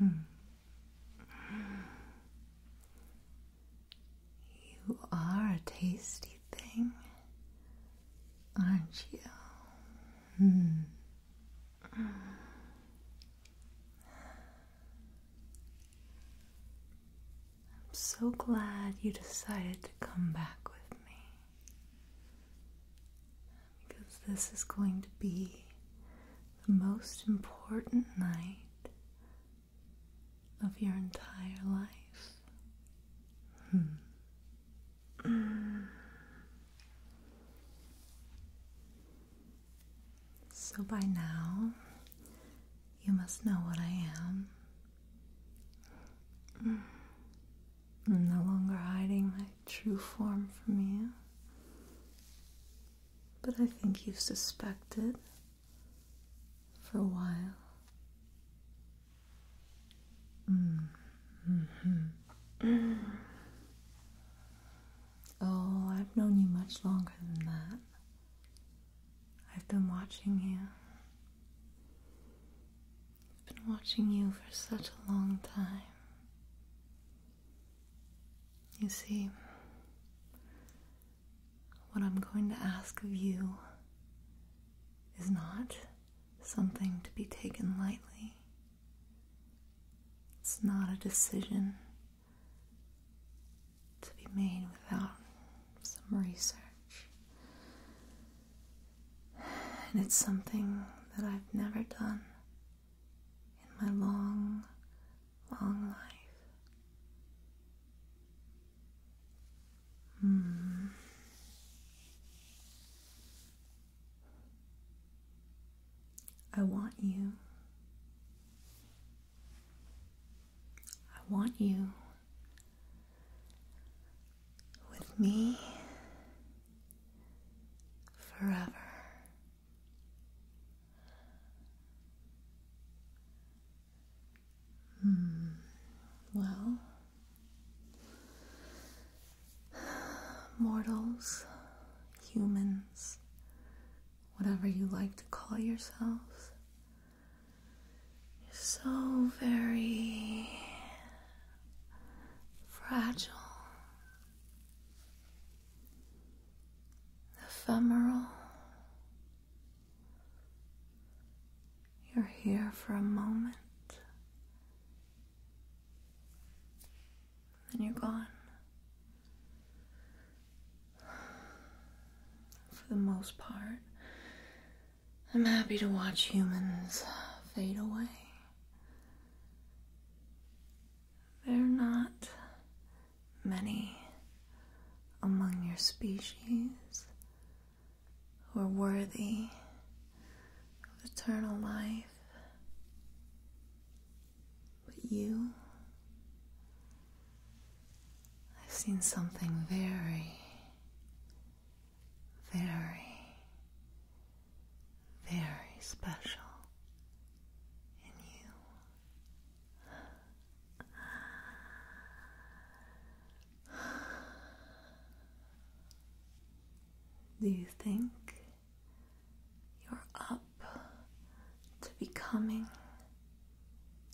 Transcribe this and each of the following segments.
You are a tasty thing, aren't you? Hmm. I'm so glad you decided to come back with me because this is going to be the most important night of your entire life. Hmm. so by now, you must know what I am. I'm no longer hiding my true form from you. But I think you've suspected for a while. Mm-hmm. oh, I've known you much longer than that. I've been watching you. I've been watching you for such a long time. You see, what I'm going to ask of you is not something to be taken lightly. It's not a decision to be made without some research. And it's something that I've never done in my long, long life. Hmm. I want you. I want you with me forever. Hmm. Well, mortals, humans, whatever you like to call yourselves, you're so very fragile ephemeral. You're here for a moment, then you're gone. For the most part, I'm happy to watch humans fade away. There are not many among your species who are worthy of eternal life, but you. I've seen something very very, very special in you. Do you think you're up to becoming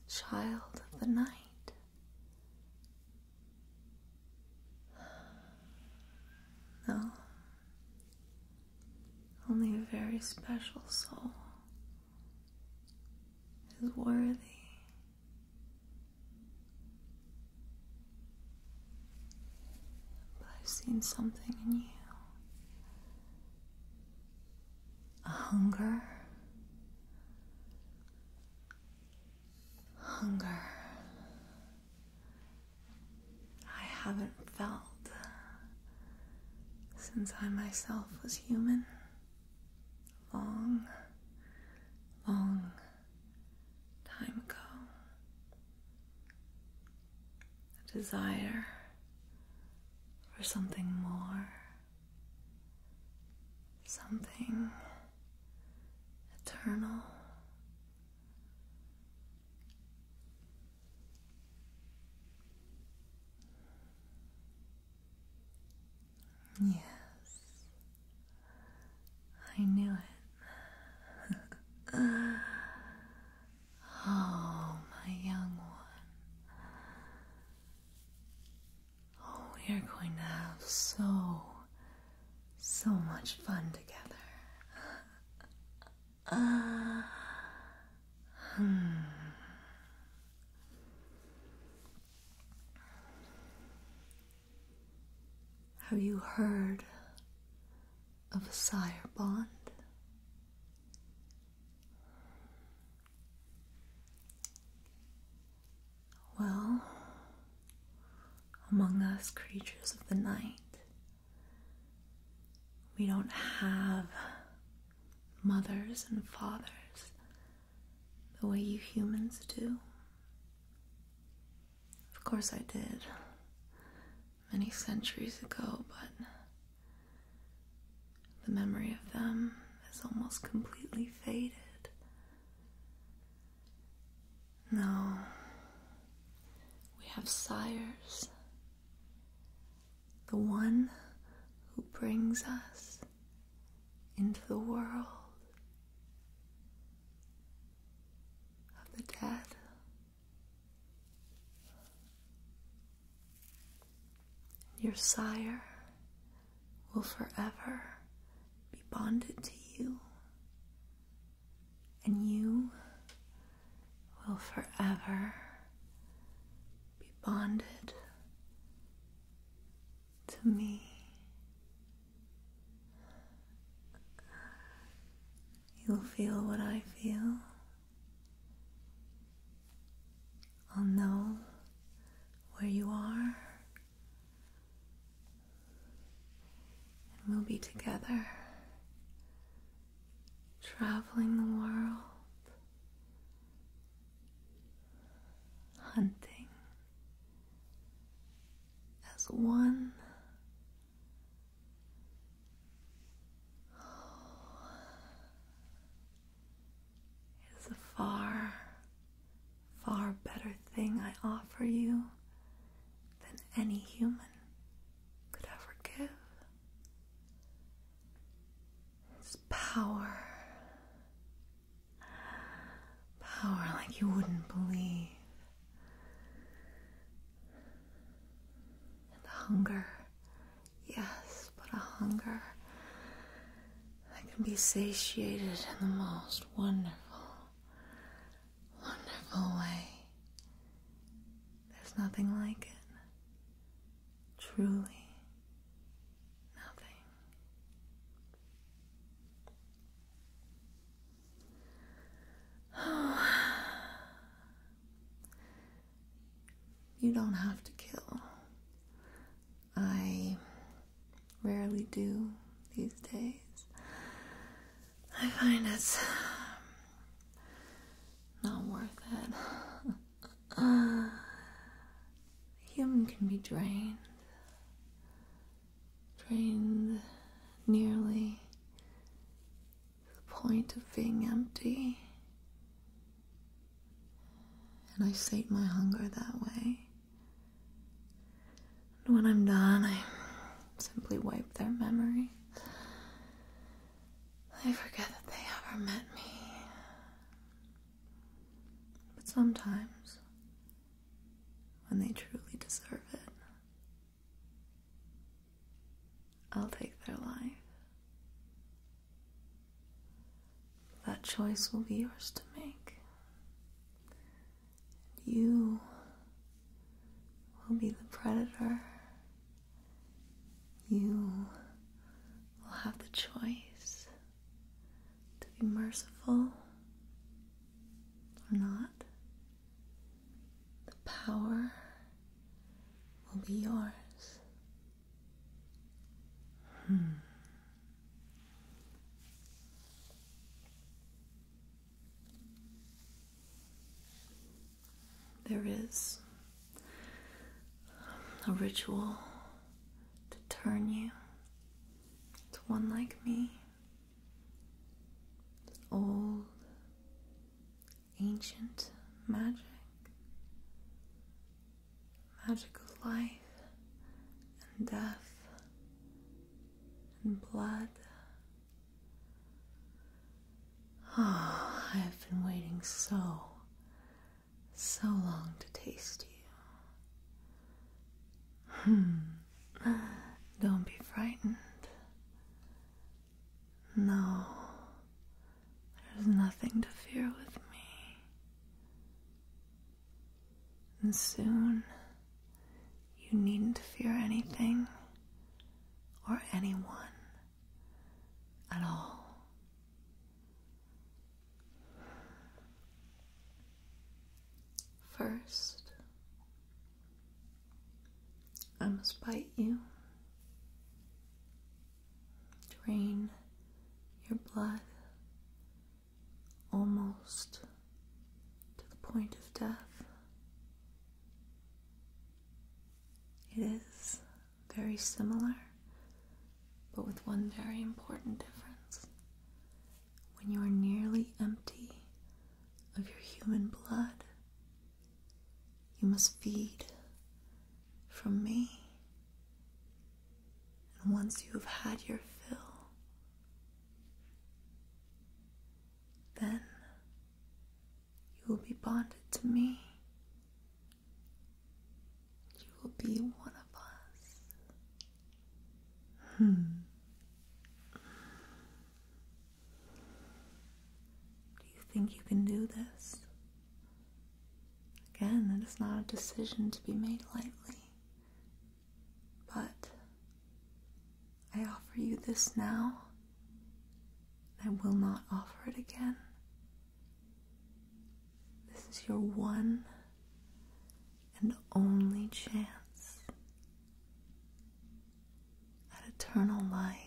child of the night? No. Only a very special soul is worthy. But I've seen something in you a hunger. Hunger I haven't felt since I myself was human. Long, long time ago. A desire for something more, something eternal Yes, I knew it. oh, my young one. Oh, we are going to have so so much fun together. Uh, hmm. Have you heard of a sire bond? Well, among us creatures of the night, we don't have mothers and fathers the way you humans do. Of course, I did many centuries ago, but the memory of them is almost completely faded. No. We have sires. The one who brings us into the world of the dead. Your sire will forever be bonded to you, and you will forever be bonded to me. You'll feel what I feel. I'll know where you are and we'll be together, traveling the world, hunting as one. It is a far better thing I offer you than any human could ever give. It's power. Power like you wouldn't believe. And hunger. Yes, but a hunger that can be satiated in the most wonderful wonderful way. There's nothing like it. Truly nothing. You don't have to kill. I rarely do these days. I find it's not worth it. uh, human can be drained, drained nearly to the point of being empty. And I sate my hunger that way. And when I'm done, I simply wipe their memory. They forget that they ever met me. But sometimes, when they truly deserve it, I'll take their life. That choice will be yours to make. You will be the predator. You will have the choice to be merciful or not. The power will be yours. Hmm. There is a ritual to turn you to one like me, it's old, ancient magic magic of life and death and blood. Oh, I have been waiting so, so long to taste you. Hmm. Don't be frightened. No, there's nothing to fear with me. And soon you needn't fear anything or anyone at all. First, I must bite you, drain your blood almost to the point of death. It is very similar, but with one very important difference. When you are nearly empty of your human blood, you must feed from me. And once you have had your fill, then you will be bonded to me. You will be one of us. Hmm. Do you think you can do this? Again, it is not a decision to be made lightly. But I offer you this now, I will not offer it again. This is your one and only chance at eternal life.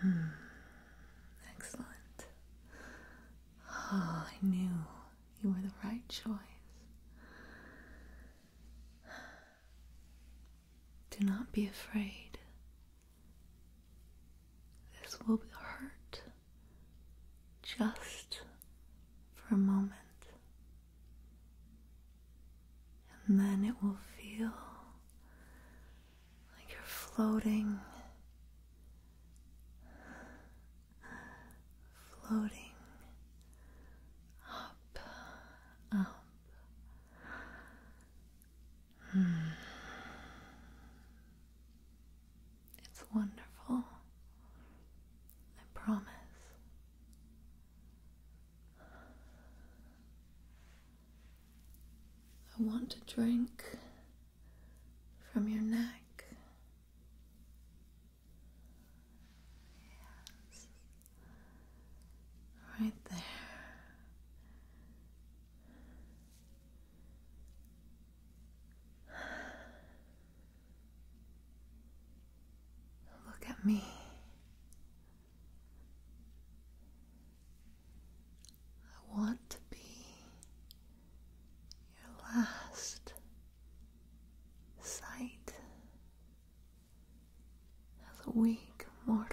Hmm. Excellent. Ah, I knew you were the right choice. Do not be afraid. This will hurt just for a moment. And then it will feel like you're floating, floating up, up. Hmm. It's wonderful. I promise. I want to drink from your neck. Right there. Look at me. I want to be your last sight as a weak mortal.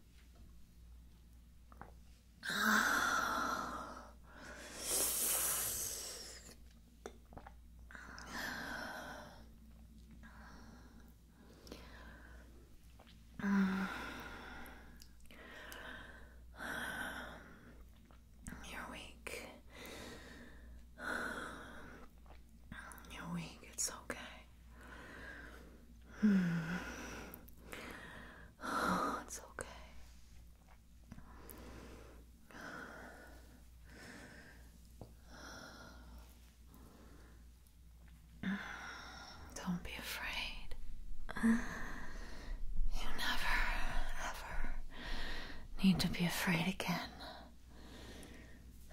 You're weak. You're weak. It's okay. it's okay. Don't be afraid. You never, ever need to be afraid again.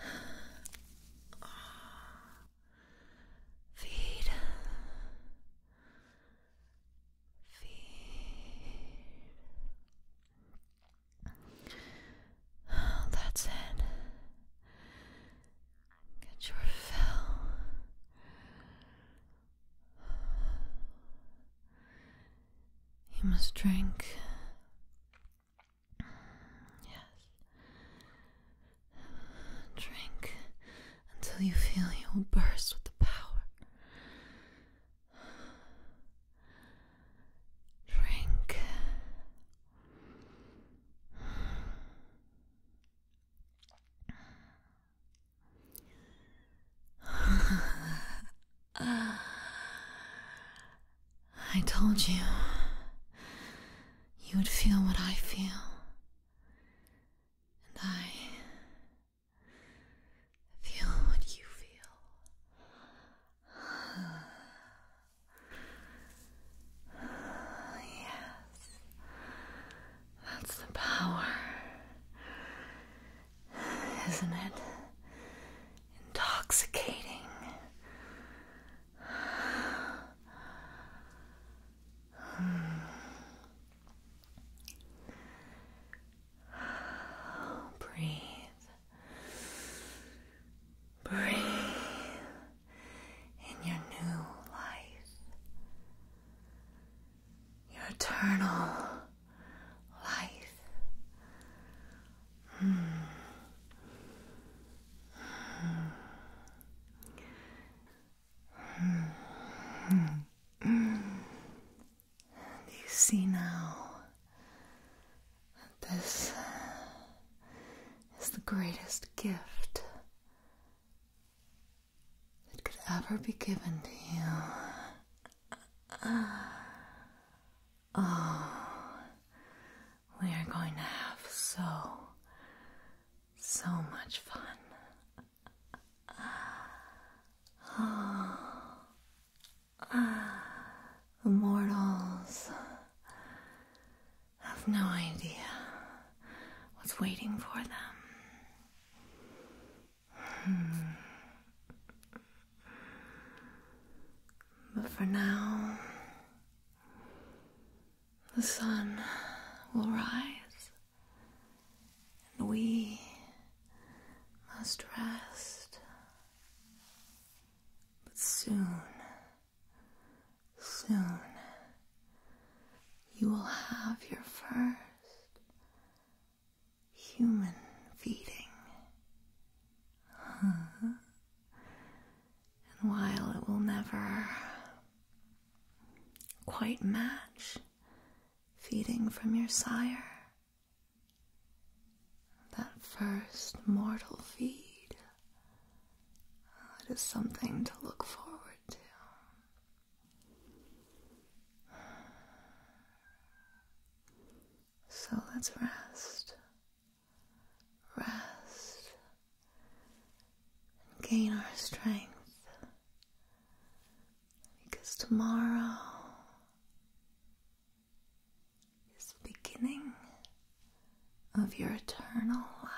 Feed. feet. that's it. Get your fill. You must drink Yes. Drink until you feel you will burst with the power. Drink. I told you you would feel what I feel. And I feel what you feel. yes, that's the power, isn't it? Intoxicating. Breathe. Breathe in your new life, your eternal life. Do you see now that this is the greatest gift that could ever be given to you? Ah. We are going to have so, so much fun. ah, The mortals have no idea what's waiting for them. Hmm. But for now, the sun will rise, and we must rest. But soon, soon, you will have your first human feeding. And while it will never quite match feeding from your sire, that first mortal feed, it is something to look forward to. So let's rest rest, and gain our strength. Because tomorrow is the beginning of your eternal life.